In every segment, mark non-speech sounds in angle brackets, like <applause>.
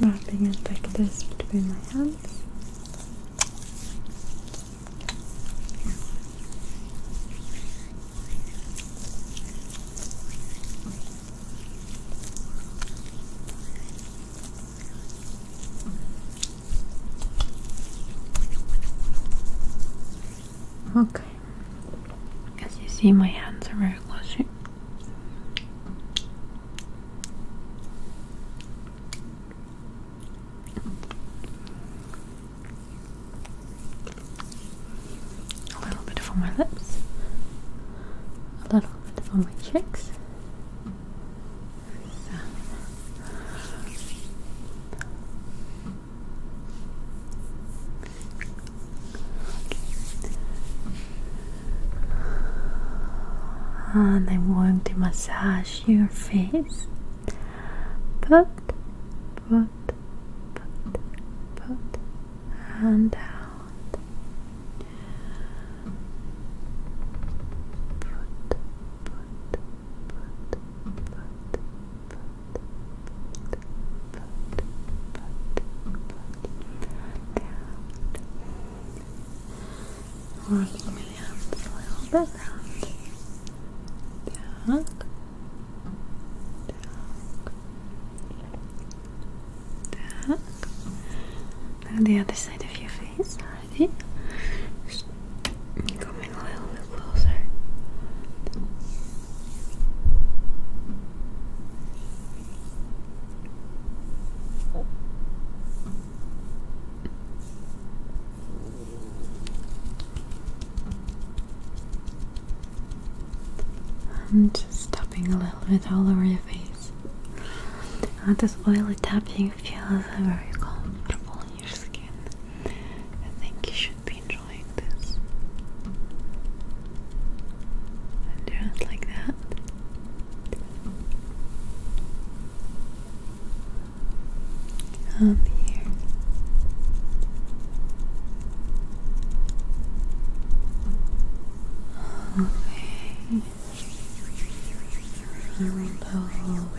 Wrapping it like this between my hands. Okay, as you see, my hands are very close. A little bit for my lips, a little bit for my cheeks. And I'm going to massage your face. Put, put, put, put, and out. Put, put, Rocking me up a little bit round. Down. Down. Down. the other side of your face, ready? Coming a little bit closer. I'm just tapping a little bit all over your face. And this oily tapping feel? feels very comfortable on your skin. I think you should be enjoying this. do it like that. On the ear. Okay. Roll over.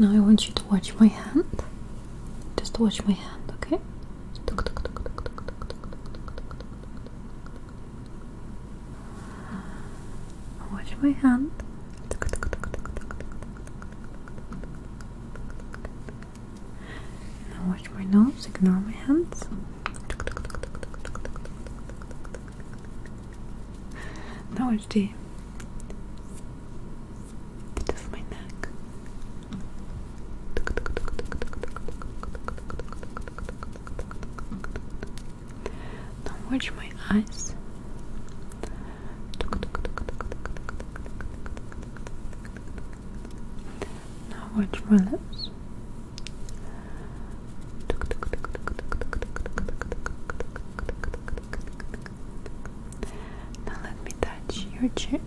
Now I want you to watch my hand. Just watch my hand, okay? Watch my hand. Now watch my nose, ignore my hands. Now watch the tip of my neck. Now watch my eyes. Now watch my lips. Now let me touch your cheek.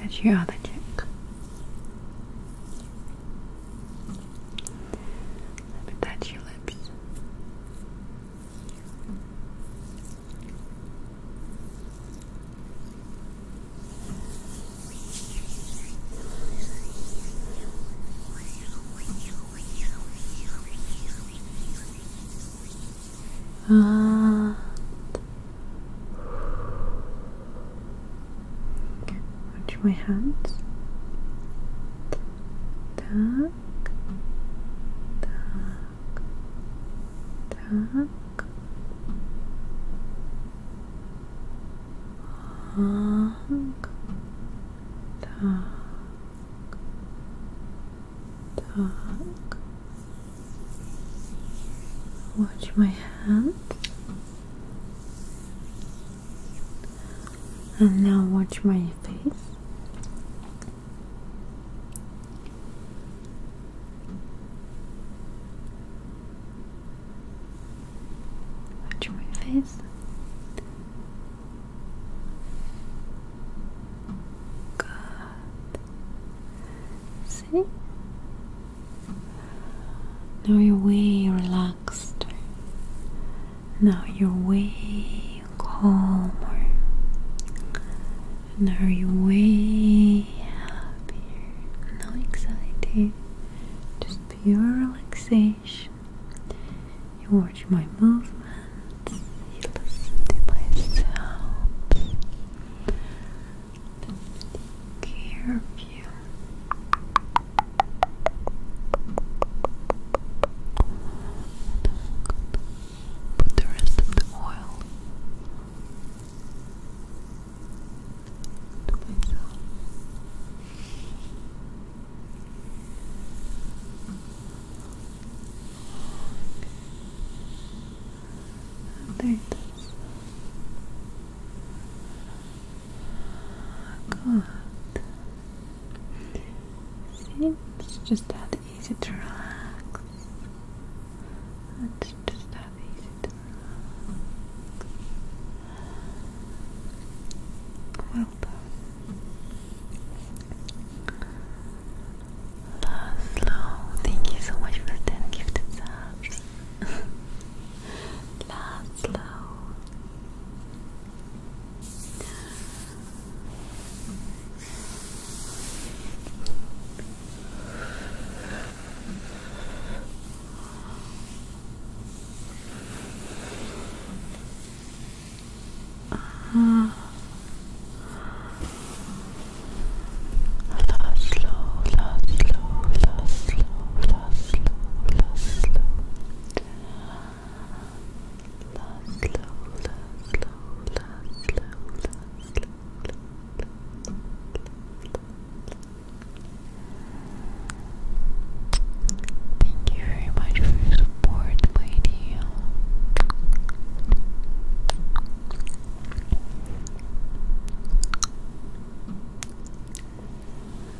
Touch your other cheek. Let me touch your lips. And watch my hands. Tap так, так. Так, так, так. Watch my hands and now watch my face watch my face good see now you're way relaxed now you're way calmer. Now you're way happier. No anxiety, just pure relaxation. You watch my movements, you listen to my sounds. care of you. Put the rest of the oil there it is. Good. See, it's just that easy to relax. It's just that easy to relax. Well done. Laszlo, thank you so much for 10 gifted subs. <laughs> Laszlo. Ah. la slow, slow, slow, slow, slow. Thank you very much for your support, my dear.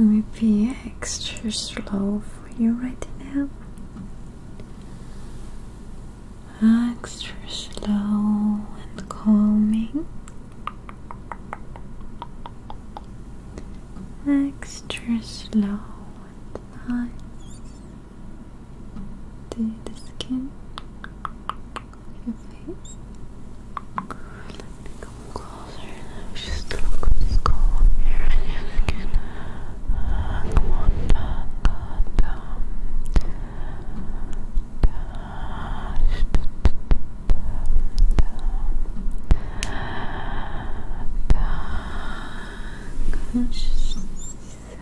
Let me be extra slow for you right now. Extra slow and calming. Extra slow and nice. To the skin on your face. come closer. Just look at the skull up here and your skin. Uh, come on, down, down, down. Down, down, down. Down. Good. Just the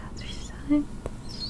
other side.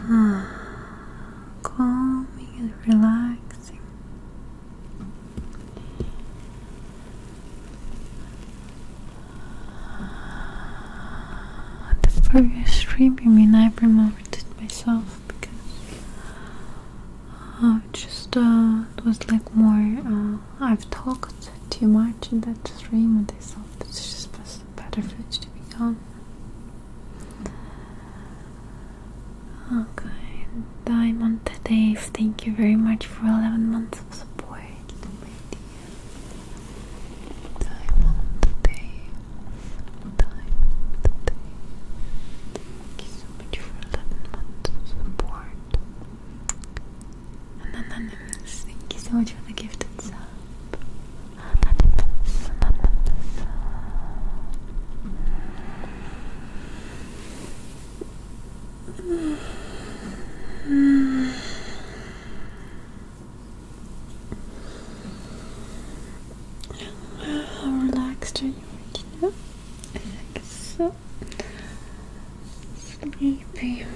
<sighs> calming and relaxing. The previous stream, I mean, removed it myself because uh, just uh, it was like more. Uh, I've talked too much in that stream, and I thought it's just better foods to be on. Okay, Diamond Dave, thank you very much for 11 months of support, Diamond Dave, Diamond Dave, thank you so much for 11 months of support thank you so much for the gifted How relaxed are you right now? I think so sleepy.